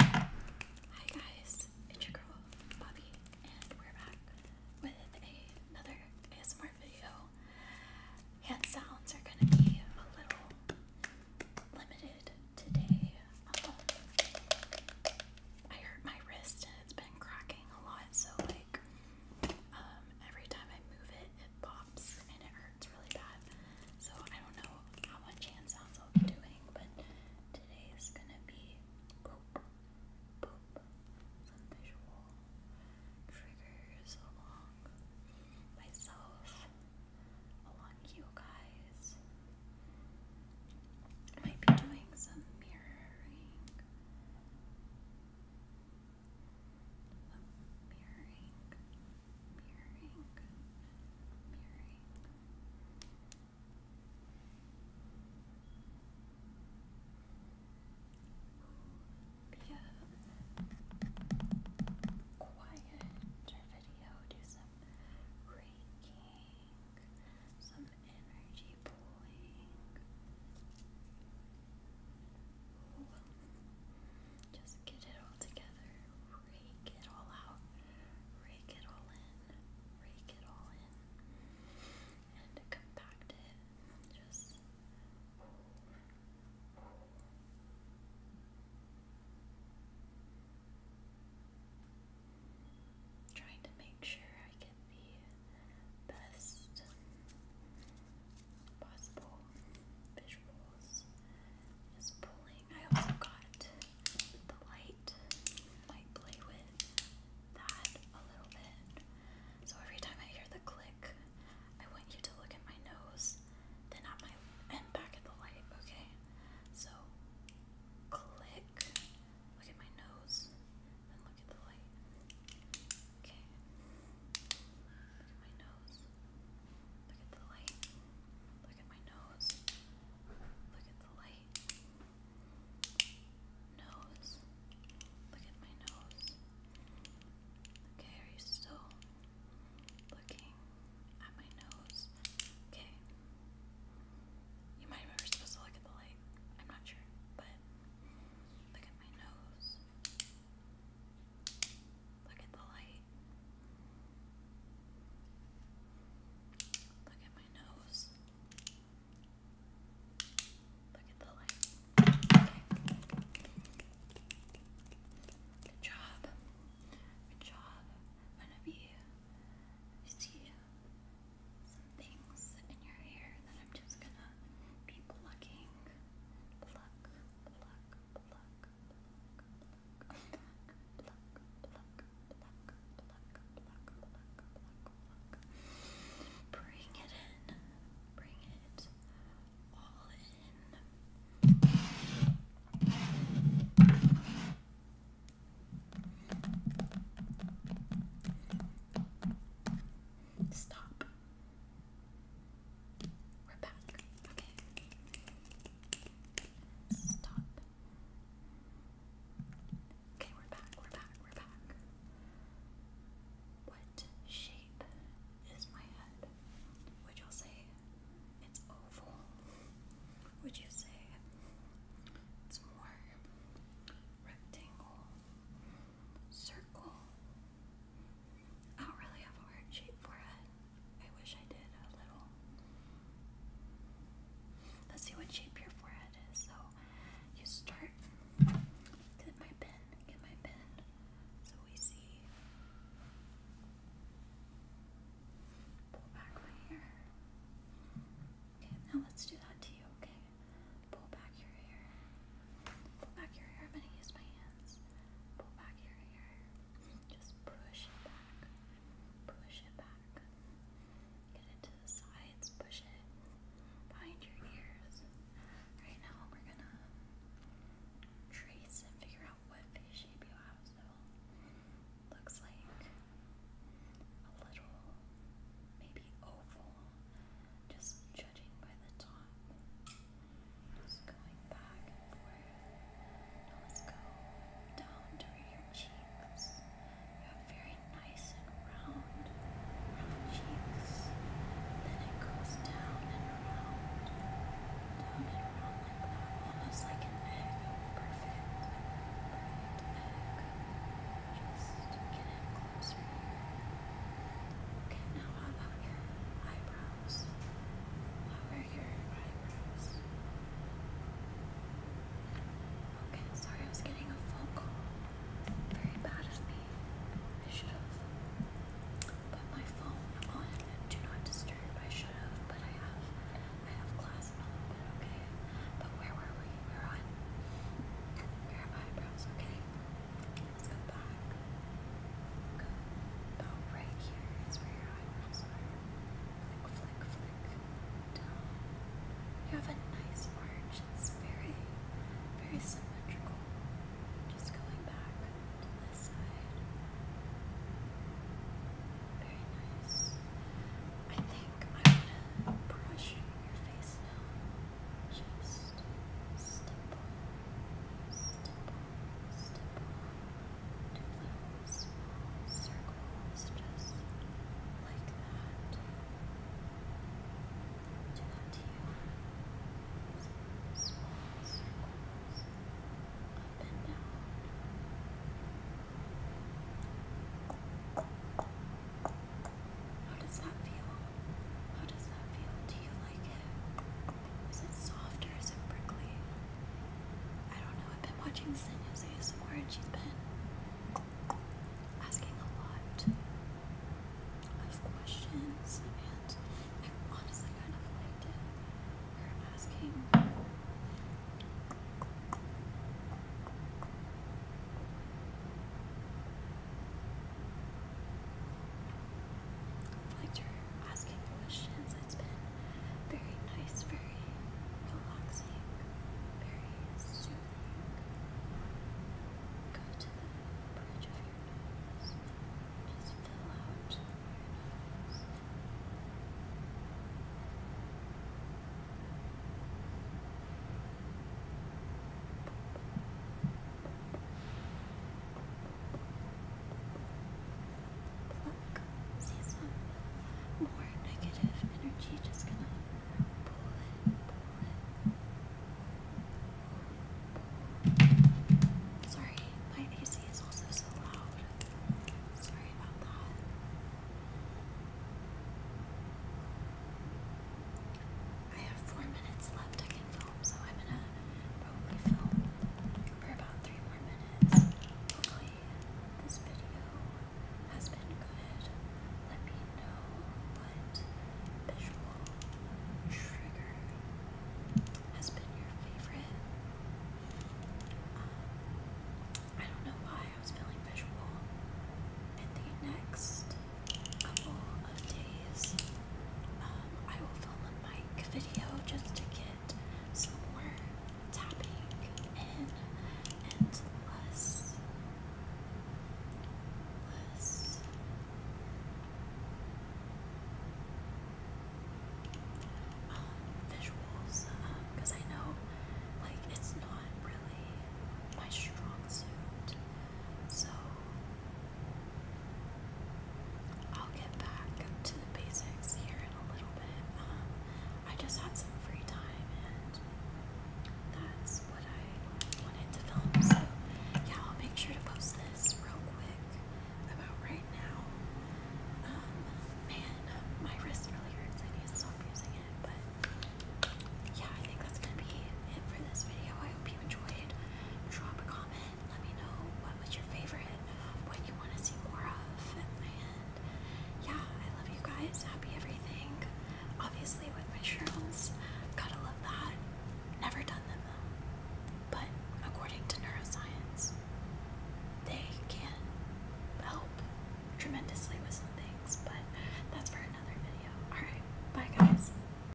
Hi guys, it's your girl Bobby, and we're back with another ASMR video. Hand sounds are gonna be a little limited today. Um, I hurt my wrist and it's been cracking a lot, so like um, every time I move it, it pops and it hurts really bad. So I don't know how much hand sounds doing, but today is gonna be some visual triggers along myself, along you guys. might be doing some mirroring. Some mirroring mirroring, Be a quieter video, do some raking, some energy pulling. Just get it all together rake it all out, rake it all in, rake it all in, and compact it. Just trying to make sure I get the best possible visuals. Just pulling. I also got the light might play with that a little bit. So every time I hear the click, I want you to look at my nose, then at my and back at the light, okay? So click, look at my nose, then look at the light. Okay. Look at my nose. Look at the light. Look at my nose. Look at the light. Nose. Look at my nose. Okay, are you still looking at my nose? Okay. You might remember supposed to look at the light. I'm not sure, but look at my nose. Look at the light. Look at my nose. Look at the light. Okay. Good job. Good job. I'm gonna be see some things in your hair that I'm just gonna be plucking. Pluck, pluck, pluck, Bring it in. Bring it all in. Stop. We're back. Okay. Stop. Okay, we're back, we're back, we're back. What shape is my head? Would you say it's oval? Would you say it's more rectangle, circle, I don't really have a heart shape for I wish I did a little. Let's see what shape your forehead is. So you start. Get my pen. Get my pen. So we see. Pull back my hair. Okay, now let's do that to you. Okay. Pull back your hair. Pull back your hair. I'm gonna use my hands. Pull back your hair. Just push it back. Push it back. Get it to the sides. Push it behind your ears. Right now, we're gonna trace and figure out what face shape you have. So, looks like a little, maybe oval, just judging by the top. Just going back and forth. Now let's go down to your cheeks. You have very nice and round, round cheeks. Then it goes down and around, down and around almost like an egg. Perfect, perfect egg. Just get it closer Okay, now how about your eyebrows? Lower your eyebrows. Okay, sorry, I was getting a phone call. Very bad of me. I should have put my phone on do not disturb. I should have, but I have. I have class in a little bit. Okay, but where were we? We're on your eyebrows. Okay. Let's go back. Go. About right here is where your eyebrows are. Flick, flick, Down. You have a nice arch. It's very, very symmetrical. Just going back to this side. Very nice. I think I'm gonna brush your face now. Just stipple, stipple, stipple to circles just like that. Do that here. Small circles up and How does that feel? How does that feel? Do you like it? Is it soft or is it prickly? I don't know. I've been watching Senya's ASMR and she's been asking a lot of questions and I honestly kind of liked it. Her asking I liked your asking questions. It's been very nice, very relaxing, very soothing. Go to the bridge of your nose. Just fill out your nose. Pluck. See Sorry, my AC is also so loud. Sorry about that. I have four minutes left I can film, so I'm gonna probably film for about three more minutes. Hopefully this video has been good. Let me know what visual trigger has been your favorite. Um, I don't know why I was feeling visual in the next couple of days. Um, I will film a mic video just to get some more tapping in and less, less um, visuals because um, I know like it's not really my strong suit so I'll get back to the basics here in a little bit. Um, I just had some free time and that's what I wanted to film. So, yeah, I'll make sure to post this real quick about right now. Um, man, my wrist really hurts. I need to stop using it. But, yeah, I think that's going to be it for this video. I hope you enjoyed. Drop a comment. Let me know what was your favorite, what you want to see more of. And yeah, I love you guys. Happy everything. Obviously, with my shrooms, gotta love that. Never done them though. But according to neuroscience, they can help tremendously with some things. But that's for another video. Alright, bye guys.